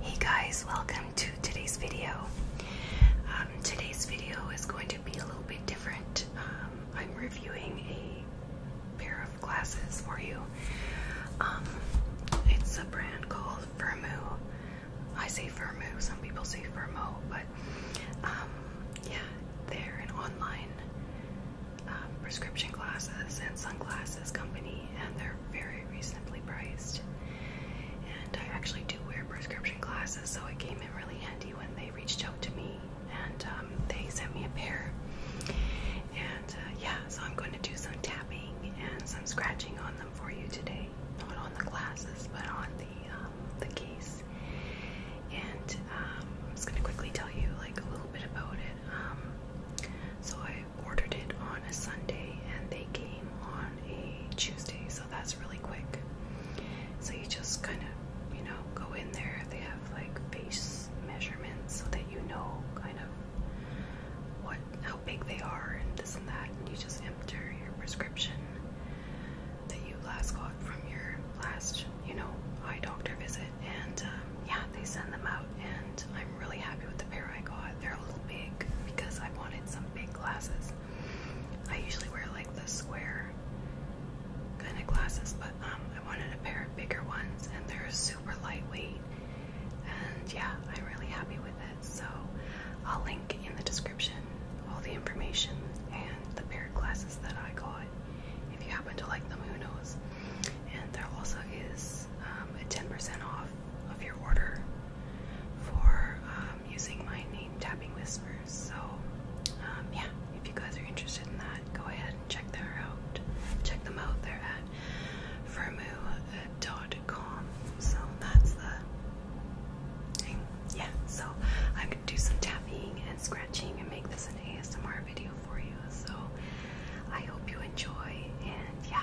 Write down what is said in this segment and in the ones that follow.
Hey guys, welcome to today's video. Um, today's video is going to be a little bit different. Um, I'm reviewing a pair of glasses for you. Um, it's a brand called Firmoo. I say Firmoo, some people say Firmo, but yeah, they're an online prescription glasses and sunglasses company and they're very reasonably priced. And I actually do wear prescription glasses, so it came in really handy when they reached out to me and um, they sent me a pair. And uh, yeah, so I'm going to do some tapping and some scratching on them for you today. Not on the glasses, but on the um, the case. And um, I'm just going to quickly tell you like a little bit about it. Um, so I ordered it on a Sunday and they came on a Tuesday, so that's really quick. So you just kind of, you know, go in there. They have like face measurements so that you know kind of what how big they are and this and that, and you just enter your prescription that you last got from your last, you know, eye doctor visit, and um, yeah, they send them out out, and I'm really happy with the pair I got. They're a little big because I wanted some big glasses. I usually wear like the square kind of glasses, but um, I wanted a pair of bigger ones, and they're super lightweight. And yeah, I'm really happy with it. So I'll link in the description all the information and the pair of glasses that I got. If you happen to like them, who knows? And there also is um, a 10% off of your order for um, using my name tapping whispers. So, um, yeah, if you guys are interested in that, go ahead and check them out. Check them out. They're at firmoo.com. So that's the thing. Yeah. So I could do some tapping and scratching and make this an ASMR video for you. So I hope you enjoy. And yeah,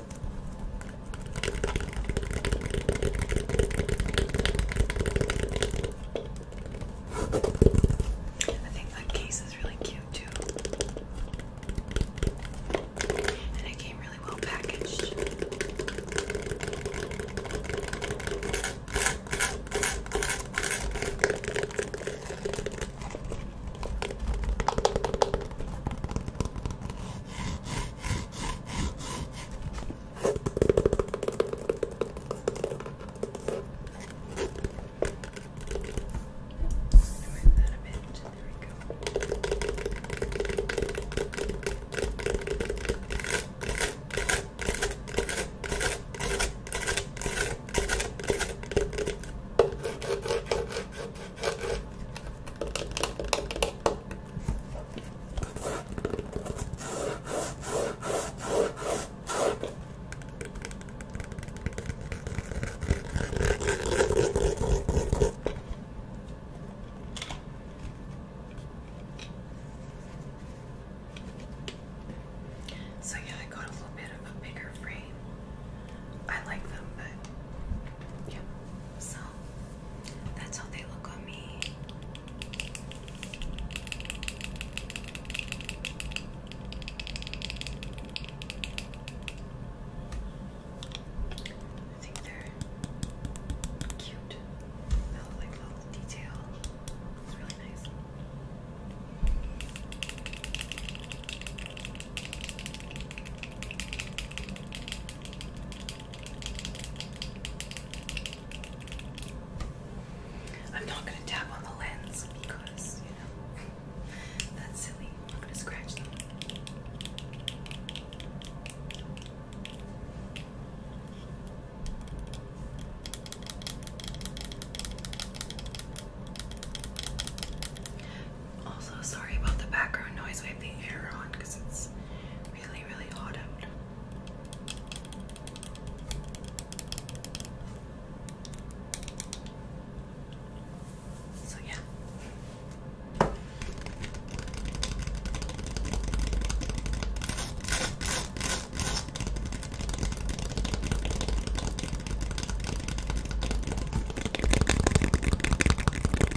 I think that case is really cute too. And it came really well packaged. Move that a bit. There we go. So, yeah, I got a little bit of a bigger frame. I like them, but yeah, so that's how they look on me. I think they're cute. That little, like little detail. It's really nice. I'm not going to tap on the lens because, you know, that's silly. I'm going to scratch them. Also, sorry about the background noise. We have the air on because it's really, really hot out. So, yeah.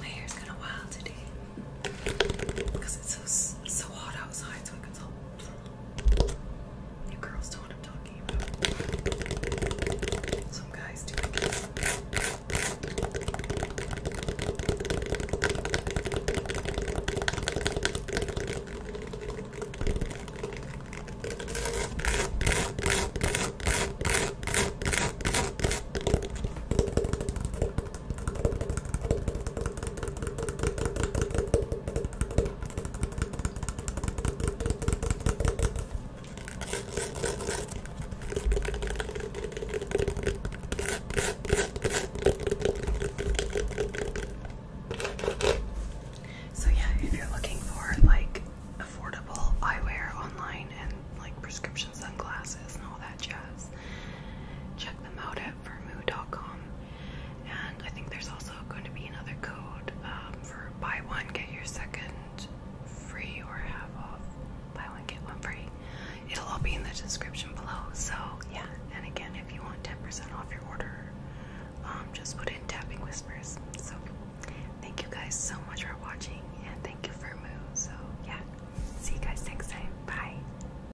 My hair's kind wild today because it's so so hot outside, so I can tell you girls don't know what I'm talking about. Some guys do so yeah, if you're looking for like affordable eyewear online and like prescription sunglasses and all that jazz, check them out vermoo.com. And I think there's also going to be another code um, for buy one, get your second free or half off. Buy one, get one free. It'll all be in the description below. So, yeah. And again, if you want 10% off your order, um, just put in Tapping Whispers. So, thank you guys so much for watching and thank you for Moo. So, yeah. See you guys next time. Bye.